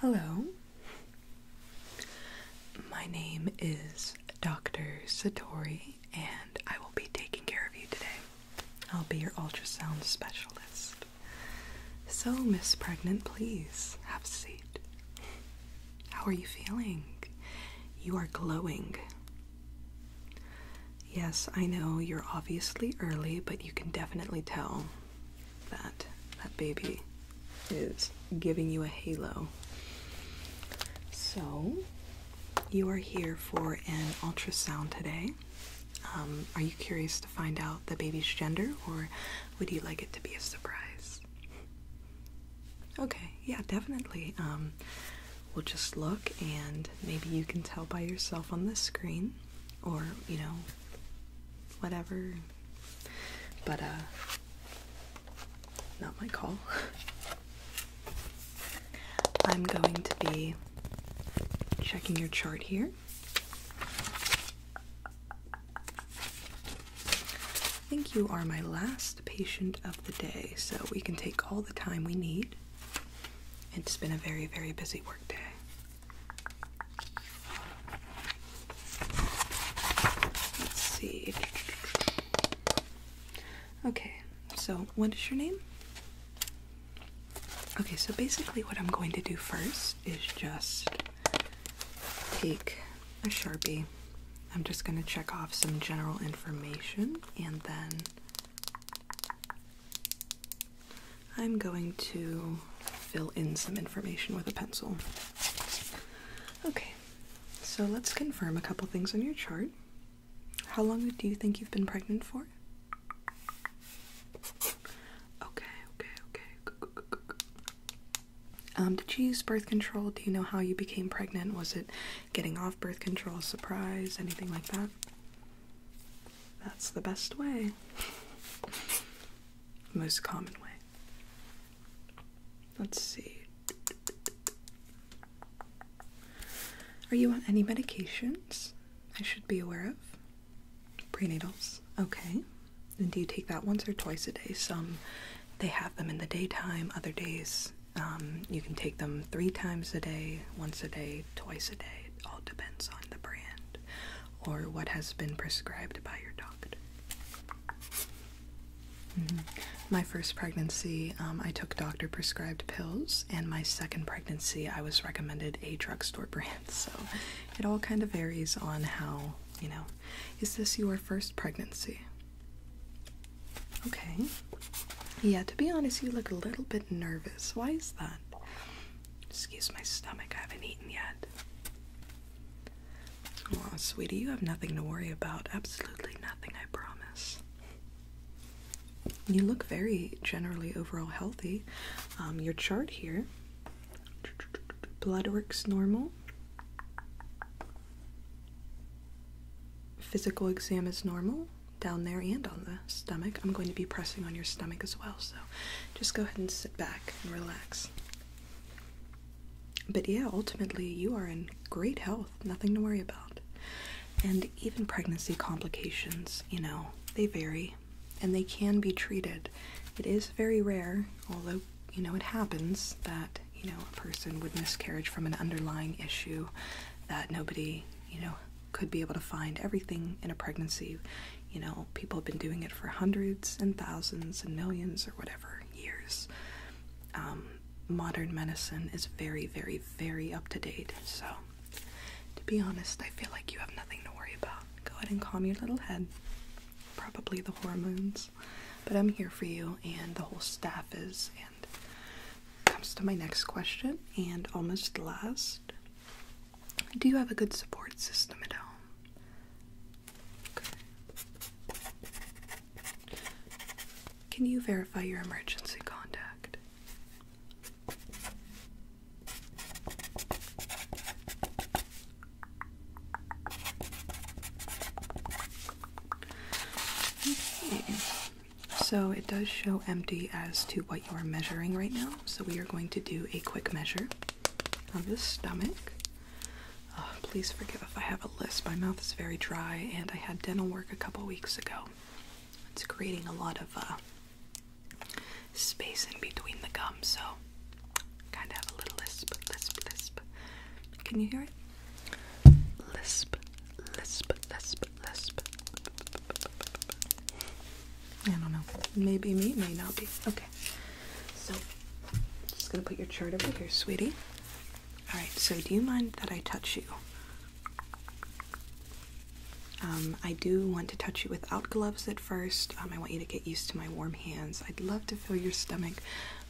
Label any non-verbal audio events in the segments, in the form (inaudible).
Hello. My name is Dr. Satori, and I will be taking care of you today. I'll be your ultrasound specialist. So, Miss Pregnant, please have a seat. How are you feeling? You are glowing. Yes, I know you're obviously early, but you can definitely tell that that baby is giving you a halo. So you are here for an ultrasound today. Um, are you curious to find out the baby's gender, or would you like it to be a surprise? Okay, yeah, definitely. Um, we'll just look, and maybe you can tell by yourself on the screen, or you know, whatever. But, uh, not my call. (laughs) I'm going to be checking your chart here. I think you are my last patient of the day, so we can take all the time we need. It's been a very, very busy workday. Let's see. Okay, so what is your name? Okay, so basically, what I'm going to do first is just take a sharpie. I'm just going to check off some general information and then I'm going to fill in some information with a pencil. Okay, so let's confirm a couple things on your chart. How long do you think you've been pregnant for? Okay, okay, okay. Um, did you use birth control? Do you know how you became pregnant? Was it getting off birth control, surprise, anything like that? That's the best way. Most common way. Let's see. Are you on any medications I should be aware of? Prenatals. Okay. And do you take that once or twice a day? Some they have them in the daytime, other days um, you can take them three times a day, once a day, twice a day. It all depends on the brand or what has been prescribed by your doctor. Mm-hmm. My first pregnancy, um, I took doctor prescribed pills, and my second pregnancy, I was recommended a drugstore brand. (laughs) So it all kind of varies on how, you know, is this your first pregnancy? Okay. Yeah, to be honest, you look a little bit nervous. Why is that? Excuse my stomach, I haven't eaten yet. Well, sweetie, you have nothing to worry about. Absolutely nothing, I promise. You look very generally overall healthy. Um, your chart here blood works normal, physical exam is normal down there and on the stomach. I'm going to be pressing on your stomach as well, so just go ahead and sit back and relax. But yeah, ultimately, you are in great health, nothing to worry about. And even pregnancy complications, you know, they vary and they can be treated. It is very rare, although, you know, it happens that, you know, a person would miscarriage from an underlying issue that nobody, you know, could be able to find. Everything in a pregnancy you know, people have been doing it for hundreds and thousands and millions or whatever years. Um, modern medicine is very, very, very up to date. So, to be honest, I feel like you have nothing to worry about. Go ahead and calm your little head. Probably the hormones. But I'm here for you, and the whole staff is. And comes to my next question, and almost last. Do you have a good support system at home? Can you verify your emergency contact? Okay. So it does show empty as to what you are measuring right now. So we are going to do a quick measure of the stomach. Oh, please forgive if I have a lisp. My mouth is very dry, and I had dental work a couple weeks ago. It's creating a lot of uh, space in between the gums, so kind of have a little lisp, lisp, lisp. Can you hear it? Lisp, lisp, lisp, lisp. I don't know. Maybe me, may not be. Okay. Okay. So, just gonna put your chart over here, sweetie. All right. So, do you mind that I touch you? Um, I do want to touch you without gloves at first. Um, I want you to get used to my warm hands. I'd love to feel your stomach,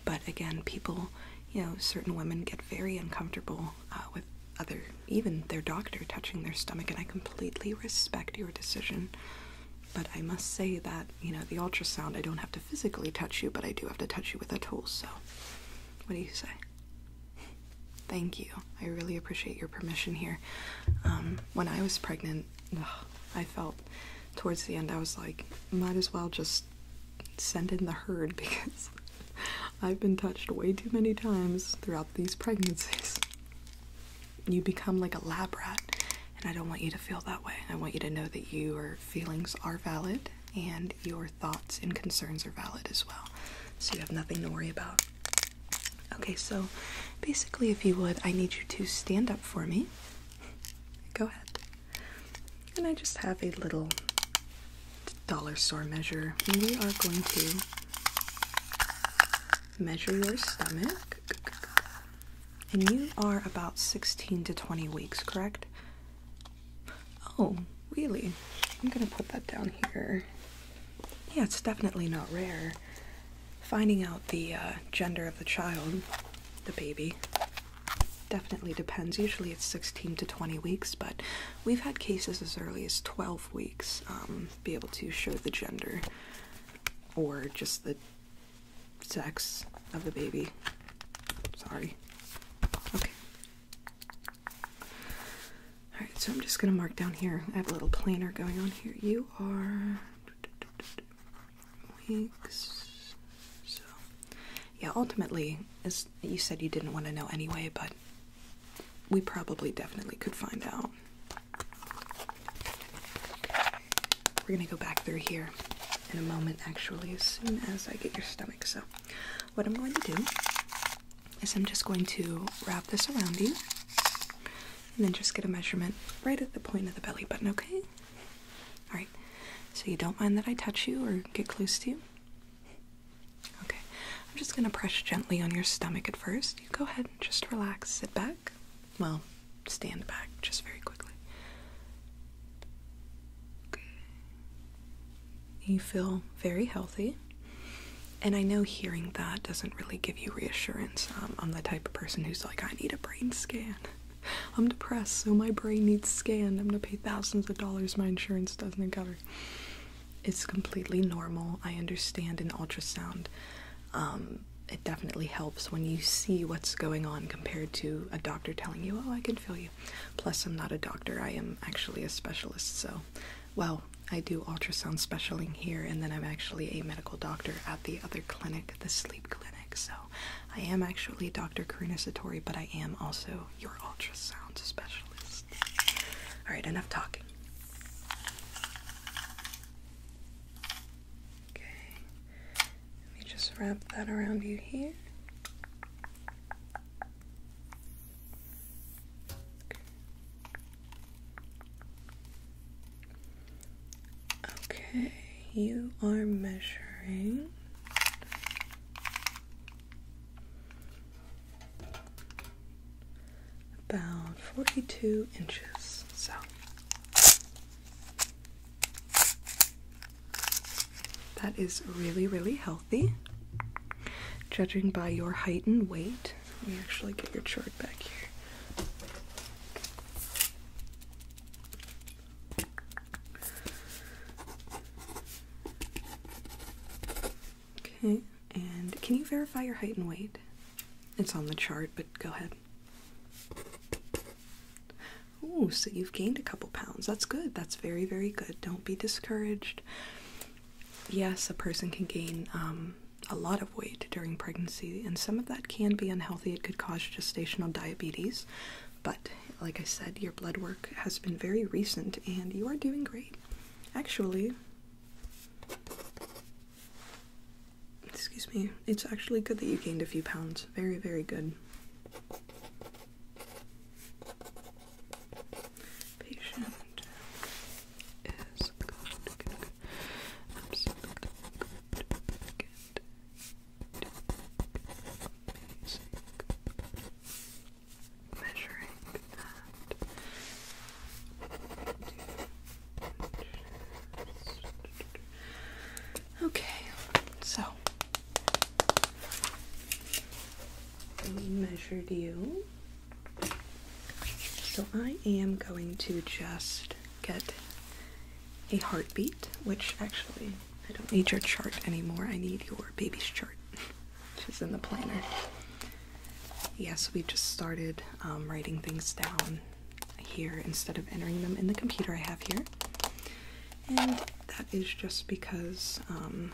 but again, people, you know, certain women get very uncomfortable uh, with other, even their doctor touching their stomach, and I completely respect your decision. But I must say that, you know, the ultrasound, I don't have to physically touch you, but I do have to touch you with a tool, so what do you say? Thank you. I really appreciate your permission here. Um, when I was pregnant, I felt towards the end, I was like, might as well just send in the herd (laughs) because I've been touched way too many times throughout these pregnancies you become like a lab rat. And I don't want you to feel that way. I want you to know that your feelings are valid and your thoughts and concerns are valid as well. So you have nothing to worry about. Okay, so basically, if you would, I need you to stand up for me. Go ahead. And I just have a little dollar store measure. we are going to measure your stomach. And you are about 16 to 20 weeks, correct? Oh, really? I'm gonna put that down here. Yeah, it's definitely not rare. Finding out the uh, gender of the child, the baby, definitely depends. Usually it's 16 to 20 weeks, but we've had cases as early as 12 weeks um, be able to show the gender or just the sex of the baby. Sorry. Okay. Alright, so I'm just going to mark down here. I have a little planner going on here. You are weeks. So, yeah, ultimately, as you said, you didn't want to know anyway, but we probably definitely could find out. We're gonna go back through here in a moment, actually, as soon as I get your stomach. So, what I'm going to do is I'm just going to wrap this around you and then just get a measurement right at the point of the belly button, okay? Alright, so you don't mind that I touch you or get close to you? Okay, I'm just gonna press gently on your stomach at first. You go ahead and just relax, sit back. Well, stand back just very quickly. You feel very healthy. And I know hearing that doesn't really give you reassurance. Um, I'm the type of person who's like, I need a brain scan. (laughs) I'm depressed, so my brain needs scanned. I'm gonna pay thousands of dollars my insurance doesn't cover. It's completely normal. I understand an ultrasound um, it definitely helps when you see what's going on compared to a doctor telling you, oh, I can feel you. Plus, I'm not a doctor, I am actually a specialist. So, well, I do ultrasound specialing here, and then I'm actually a medical doctor at the other clinic, the sleep clinic. So, I am actually Dr. Karina Satori, but I am also your ultrasound specialist. All right, enough talking. Okay, let me just wrap that around you here. Okay, you are measuring. About 42 inches. So that is really, really healthy. Judging by your height and weight, let me actually get your chart back here. Okay, and can you verify your height and weight? It's on the chart, but go ahead. Oh, so you've gained a couple pounds. That's good. That's very, very good. Don't be discouraged. Yes, a person can gain um, a lot of weight during pregnancy, and some of that can be unhealthy. It could cause gestational diabetes. But like I said, your blood work has been very recent, and you are doing great. Actually, Excuse me. It's actually good that you gained a few pounds. Very, very good. Patient is good. Absolutely good. Measuring that. Okay, so we measured you. So I am going to just get a heartbeat, which actually I don't need your chart anymore. I need your baby's chart, which is in the planner. Yes, we just started um, writing things down here instead of entering them in the computer I have here. And that is just because um,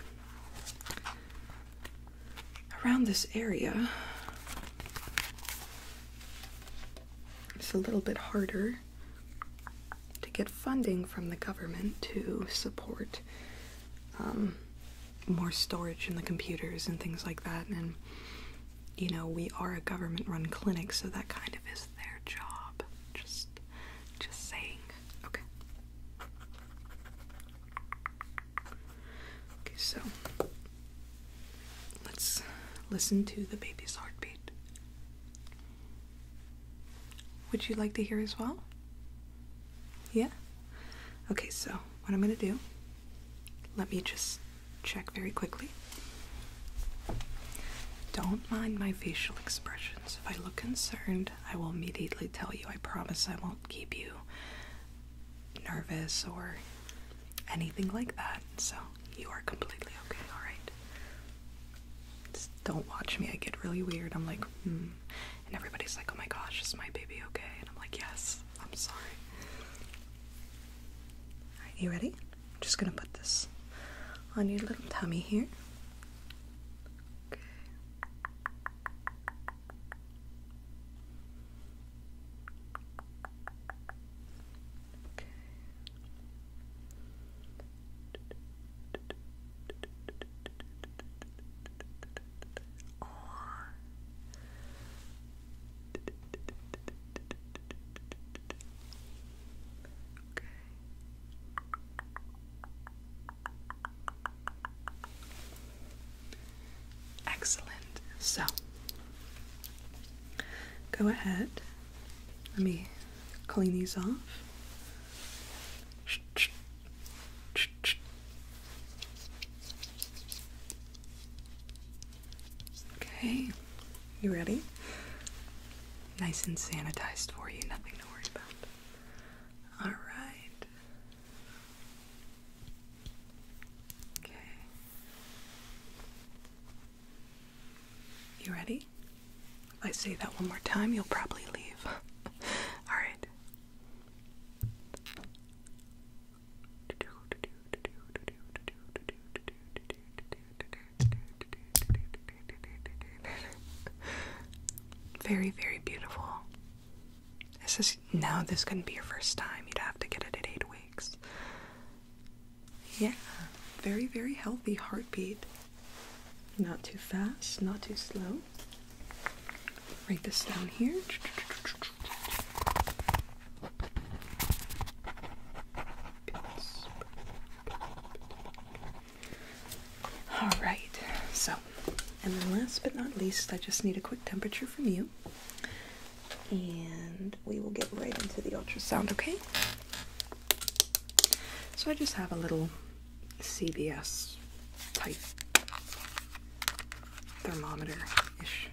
around this area it's a little bit harder to get funding from the government to support um, more storage in the computers and things like that. And you know, we are a government run clinic, so that kind of is their job. Just just saying. Okay. Okay, so let's listen to the baby's heartbeat. Would you like to hear as well? Yeah? Okay, so what I'm gonna do, let me just check very quickly. Don't mind my facial expressions. If I look concerned, I will immediately tell you. I promise I won't keep you nervous or anything like that. So you are completely okay, alright? Just don't watch me. I get really weird. I'm like, hmm. And everybody's like, oh my gosh, is my baby okay? And I'm like, yes, I'm sorry. Alright, you ready? I'm just gonna put this on your little tummy here. Okay. Okay. Excellent. So go ahead. Let me clean these off. Okay. You ready? Nice and sanitized for you, nothing to worry about. All right. Okay. You ready? If I say that one more time, you'll probably leave. (laughs) All right. (laughs) Very, very beautiful. This is now. this couldn't be your first time. You'd have to get it at eight weeks. Yeah, very, very healthy heartbeat. Not too fast, not too slow. Write this down here. All right, so, and then last but not least, I just need a quick temperature from you. And we will get right into the ultrasound, okay? So I just have a little CBS type thermometer ish.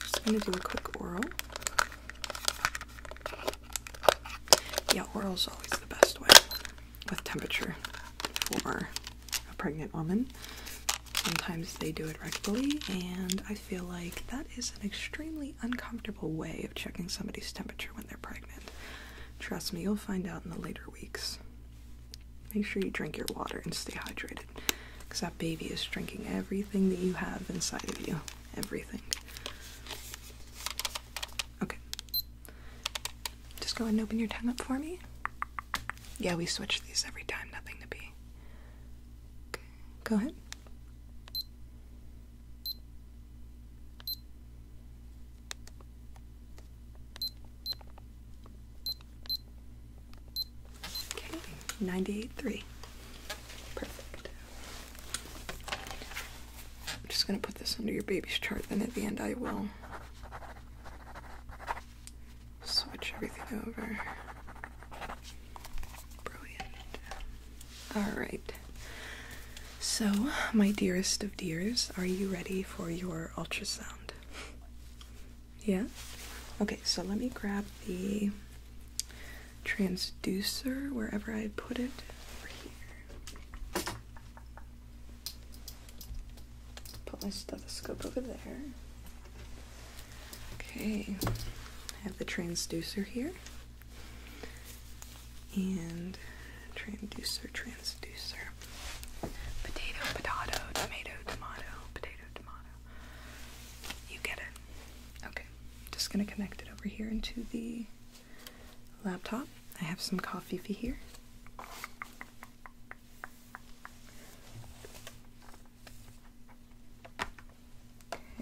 Just going to do a quick oral. Yeah, oral is always the best way with temperature for a pregnant woman. Sometimes they do it rectally, and I feel like that is an extremely uncomfortable way of checking somebody's temperature when they're pregnant. Trust me, you'll find out in the later weeks. Make sure you drink your water and stay hydrated, because that baby is drinking everything that you have inside of you everything. Okay. Just go ahead and open your tongue up for me. Yeah, we switch these every time, nothing to be. Go ahead. Okay, 98.3. Perfect. I'm just gonna put this under your baby's chart, then at the end I will switch everything over. Brilliant. Alright. So, my dearest of dears, are you ready for your ultrasound? (laughs) yeah? Okay, so let me grab the transducer wherever I put it over here. Put my stethoscope over there. Okay, I have the transducer here. And transducer, transducer. Potato, potato, tomato, tomato, potato, tomato. You get it. Okay, just gonna connect it over here into the laptop. I have some coffee for here.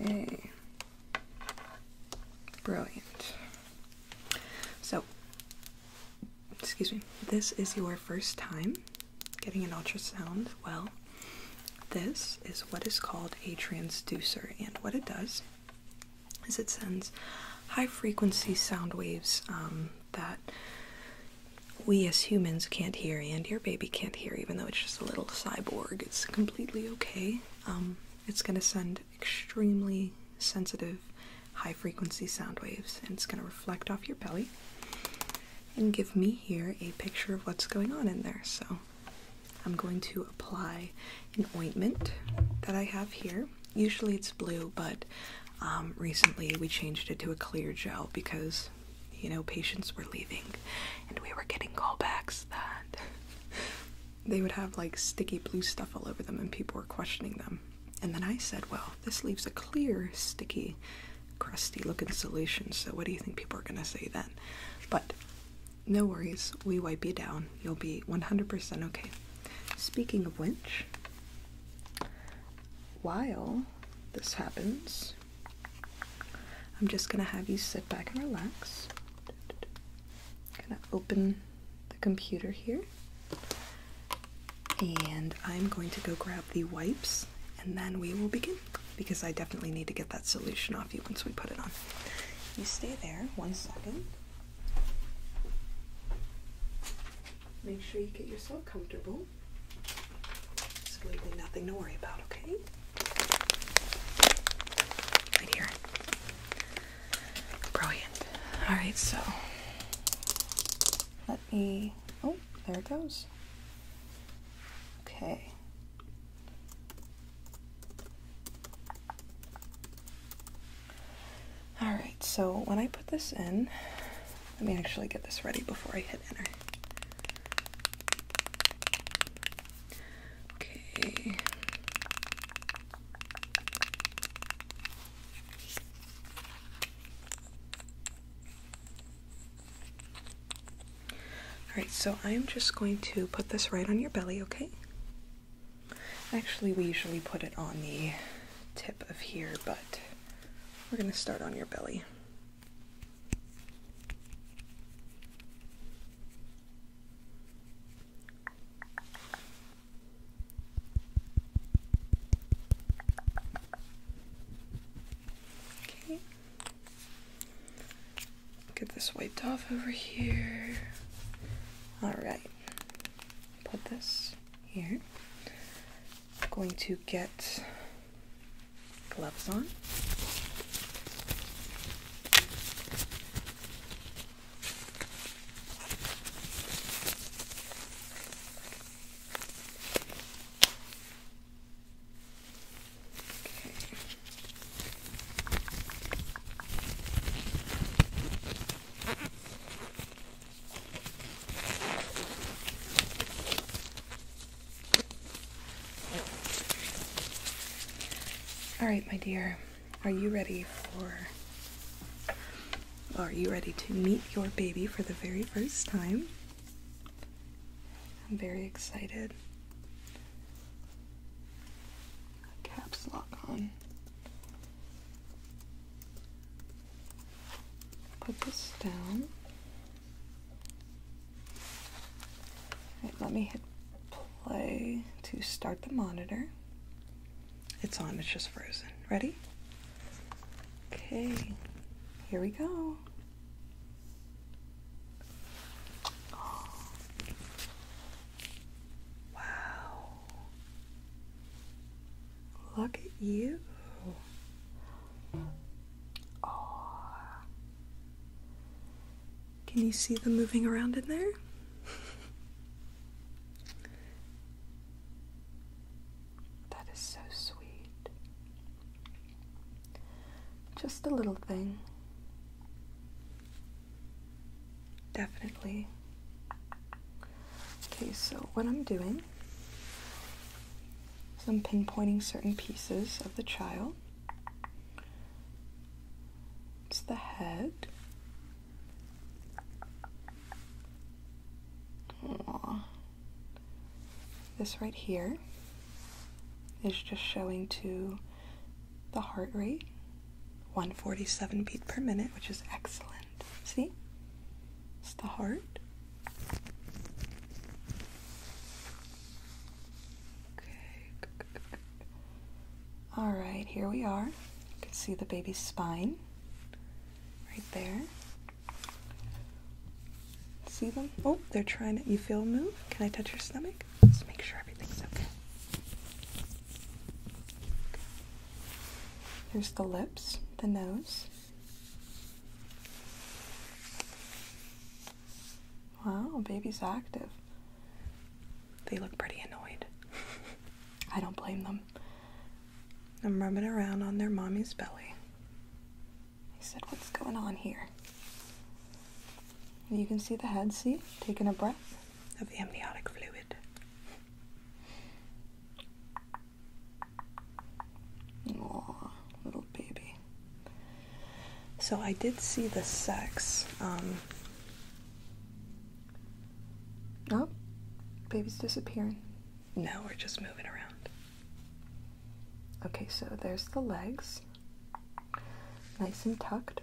Okay. Brilliant. So, excuse me, this is your first time getting an ultrasound. Well, this is what is called a transducer, and what it does is it sends high frequency sound waves um, that we as humans can't hear, and your baby can't hear, even though it's just a little cyborg. It's completely okay. Um, it's going to send extremely sensitive high frequency sound waves, and it's going to reflect off your belly and give me here a picture of what's going on in there. So I'm going to apply an ointment that I have here. Usually it's blue, but um, recently we changed it to a clear gel because, you know, patients were leaving and we were getting callbacks that (laughs) they would have like sticky blue stuff all over them and people were questioning them. And then I said, well, this leaves a clear, sticky, crusty looking solution, so what do you think people are going to say then? But no worries, we wipe you down. You'll be 100% okay. Speaking of which, while this happens, I'm just gonna have you sit back and relax. Gonna open the computer here, and I'm going to go grab the wipes, and then we will begin because I definitely need to get that solution off once we put it on. You stay there one second. Make sure you get yourself comfortable. Absolutely nothing to worry about, okay? Right here. Brilliant. Alright, so let me. Oh, there it goes. Okay. All right, so when I put this in, let me actually get this ready before I hit enter. Okay. Alright, so I'm just going to put this right on your belly, okay? Actually, we usually put it on the tip of here, but we're going to start on your belly. Okay. Get this wiped off over here. Alright. Put this here. I'm going to get gloves on. Okay. All right, my dear, are you ready for. Are you ready to meet your baby for the very first time? I'm very excited caps lock on. Put this down. let me hit play to start the monitor. It's on, it's just frozen. Ready? Okay, here we go. Wow. Look at you. Oh. Can you see them moving around in there? (laughs) that is so sweet. Just a little thing. Definitely. Okay, so what I'm doing is I'm pinpointing certain pieces of the child. It's the head. Aww. This right here is just showing to the heart rate 147 beats per minute, which is excellent. See? It's the heart. Okay. All right, here we are. You can see the baby's spine right there. See them? Oh, they're trying to. You feel move? Can I touch your stomach? Let's make sure everything's okay. okay. There's the lips, the nose. Wow, baby's active. They look pretty annoyed. (laughs) I don't blame them. I'm rubbing around on their mommy's belly. I said, What's going on here? You can see the head, see? Taking a breath of amniotic fluid. Aww, little baby. So I did see the sex. Um, oh, baby's disappearing. No, we're just moving around. Okay, so there's the legs. Nice and tucked.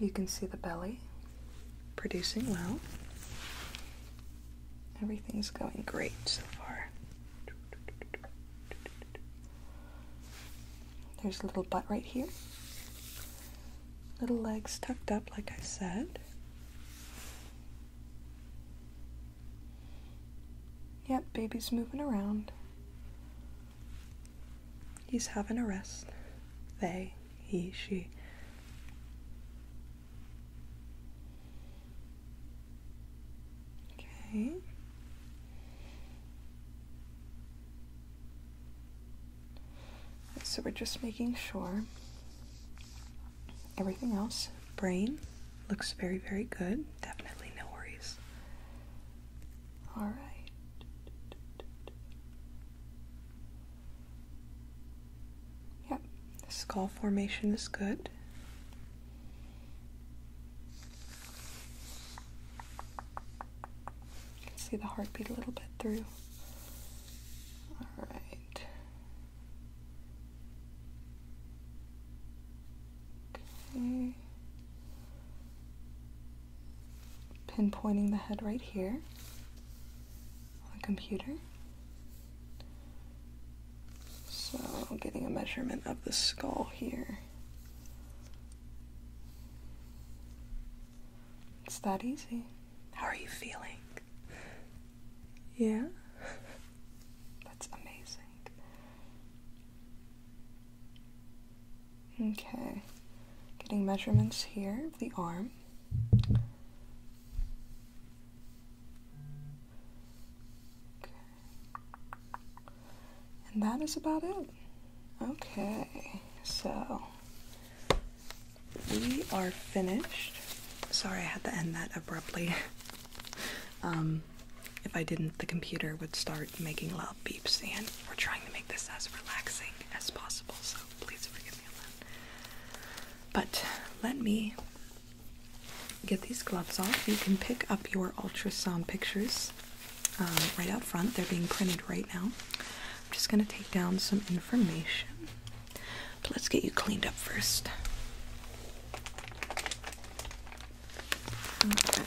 You can see the belly producing well. Everything's going great so far. There's a little butt right here. Little legs tucked up, like I said. Yep, baby's moving around. He's having a rest. They, he, she. Okay. So we're just making sure everything else, brain, looks very, very good. Definitely no worries. All right. Yep, skull formation is good. You can see the heartbeat a little bit through. Alright. Okay. Pinpointing the head right here on the computer. So, getting a measurement of the skull here. It's that easy. How are you feeling? Yeah? That's amazing. Okay. Getting measurements here of the arm. Okay. And that is about it. Okay, so we are finished. Sorry, I had to end that abruptly. (laughs) Um, if I didn't, the computer would start making loud beeps, and we're trying to make this as relaxing as possible, so please forgive me on that. But let me get these gloves off. You can pick up your ultrasound pictures um, right out front. They're being printed right now. I'm just going to take down some information. But let's get you cleaned up first. Okay.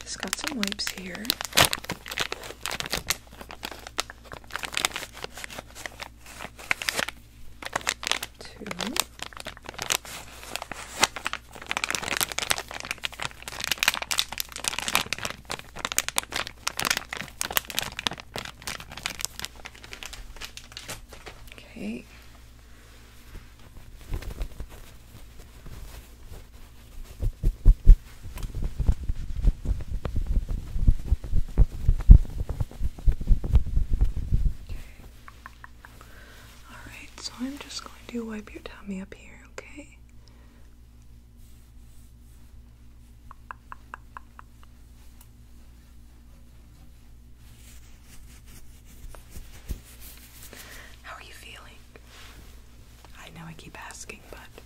Just got some wipes here. Two. Okay. Alright, so I'm just going to wipe your tummy up here, okay? How are you feeling? I know I keep asking, but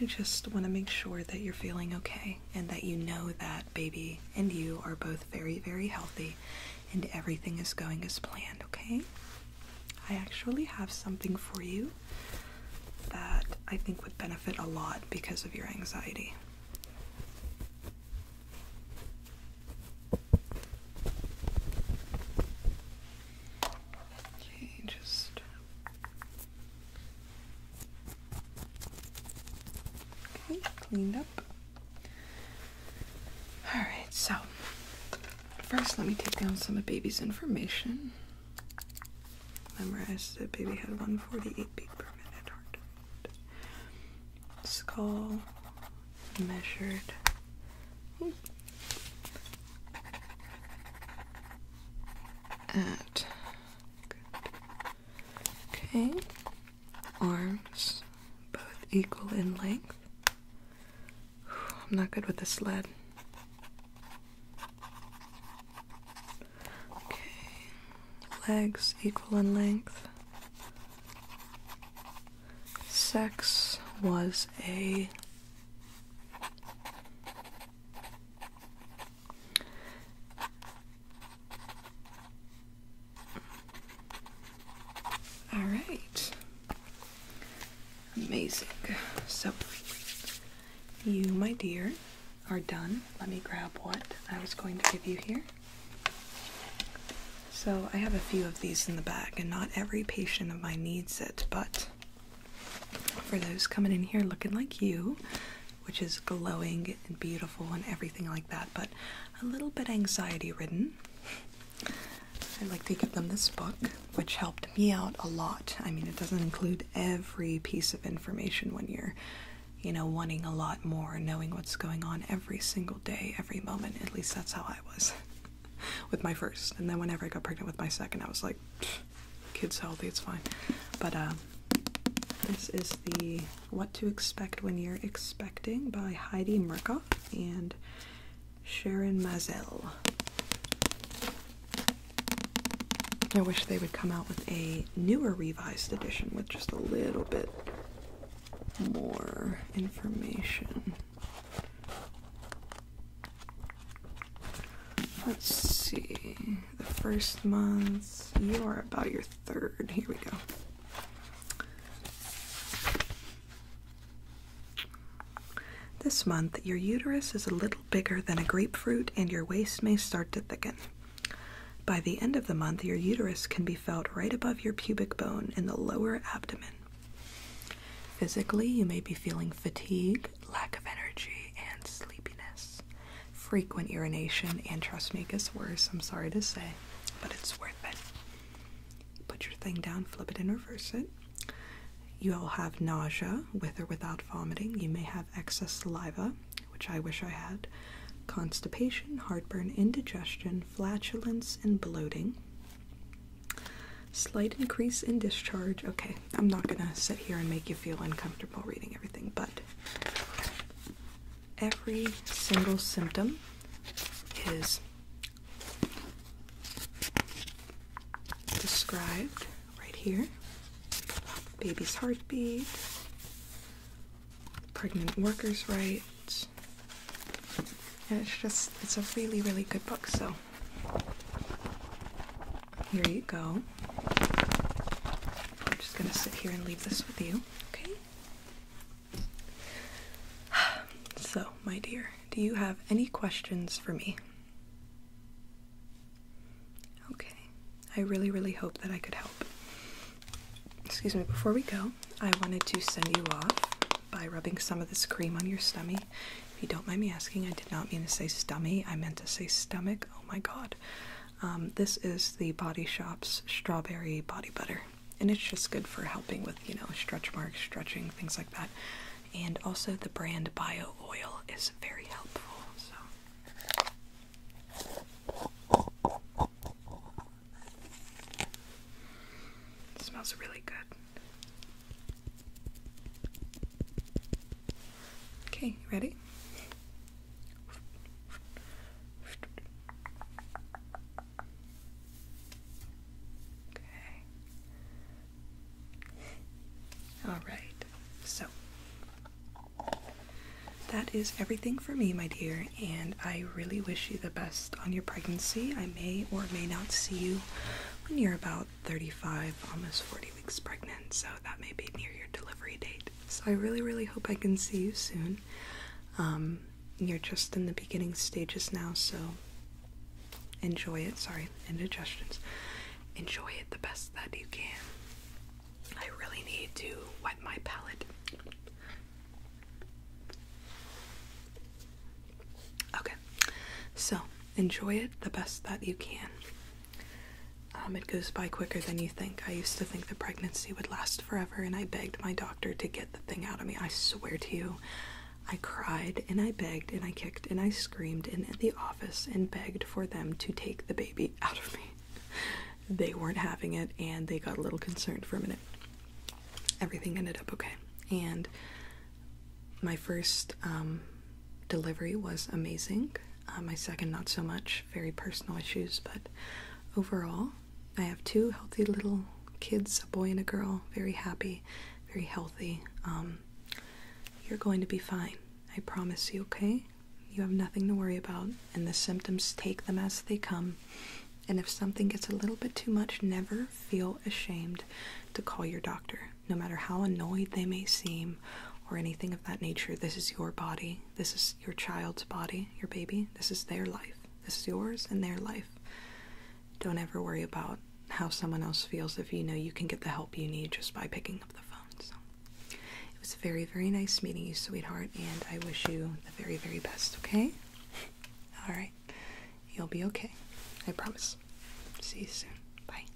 I just want to make sure that you're feeling okay and that you know that baby and you are both very, very healthy and everything is going as planned, okay? I actually have something for you that I think would benefit a lot because of your anxiety. Okay, just Okay, cleaned up. Alright, so first let me take down some of baby's information. Memorized that baby had 148 beat per minute heart rate. Skull measured. Hmm at Okay. Arms both equal in length. I'm not good with the sled. Okay. Legs equal in length. Sex was a all right. Amazing. So, you, my dear, are done. Let me grab what I was going to give you here. So, I have a few of these in the bag, and not every patient of mine needs it, but for those coming in here looking like you, which is glowing and beautiful and everything like that, but a little bit anxiety ridden. I like to give them this book, which helped me out a lot. I mean, it doesn't include every piece of information when you're, you know, wanting a lot more, knowing what's going on every single day, every moment. At least that's how I was (laughs) with my first. And then whenever I got pregnant with my second, I was like, kids healthy, it's fine. But um, this is the What to Expect When You're Expecting by Heidi Murkoff and Sharon Mazel. I wish they would come out with a newer revised edition with just a little bit more information. Let's see. The first month. You are about your third. Here we go. This month, your uterus is a little bigger than a grapefruit and your waist may start to thicken. By the end of the month, your uterus can be felt right above your pubic bone in the lower abdomen. Physically, you may be feeling fatigue, lack of energy, and sleepiness. Frequent urination and trust me, gets worse, I'm sorry to say, but it's worth it. Put your thing down, flip it, and reverse it. You'll have nausea with or without vomiting. You may have excess saliva, which I wish I had, constipation, heartburn, indigestion, flatulence, and bloating. Slight increase in discharge. Okay, I'm not gonna sit here and make you feel uncomfortable reading everything, but every single symptom is described right here baby's heartbeat, pregnant workers' rights. And it's just, it's a really, really good book, so here you go. I'm just gonna sit here and leave this with you, okay? (sighs) So, my dear, do you have any questions for me? Okay, I really, really hope that I could help. Excuse me, before we go, I wanted to send you off by rubbing some of this cream on your stomach. If you don't mind me asking, I did not mean to say stummy, I meant to say stomach. Oh my god. Um, this is the Body Shop's strawberry body butter, and it's just good for helping with, you know, stretch marks, stretching, things like that. And also, the brand Bio Oil is very helpful. So. smells really good. Okay, ready? Okay. All right. So that is everything for me, my dear, and I really wish you the best on your pregnancy. I may or may not see you when you're about 35, almost 40 weeks pregnant, so that may be near your delivery date. So I really, really hope I can see you soon. Um, you're just in the beginning stages now, so enjoy it. Sorry, indigestions. Enjoy it the best that you can. I really need to wet my palate. Okay, so enjoy it the best that you can. Um, it goes by quicker than you think. I used to think the pregnancy would last forever, and I begged my doctor to get the thing out of me. I swear to you. I cried and I begged and I kicked and I screamed in the office and begged for them to take the baby (laughs) out of me. they weren't having it and they got a little concerned for a minute. Everything ended up okay. And my first um, delivery was amazing. Uh, my second, not so much, very personal issues, but overall, I have two healthy little kids a boy and a girl, very happy, very healthy. Um, you're going to be fine. I promise you, okay? You have nothing to worry about, and the symptoms take them as they come. And if something gets a little bit too much, never feel ashamed to call your doctor no matter how annoyed they may seem or anything of that nature. This is your body. This is your child's body, your baby. This is their life. This is yours and their life. Don't ever worry about how someone else feels if you know you can get the help you need just by picking up the phone. it was very, very nice meeting you, sweetheart, and I wish you the very, very best, okay? All right. You'll be okay. I promise. See you soon. Bye.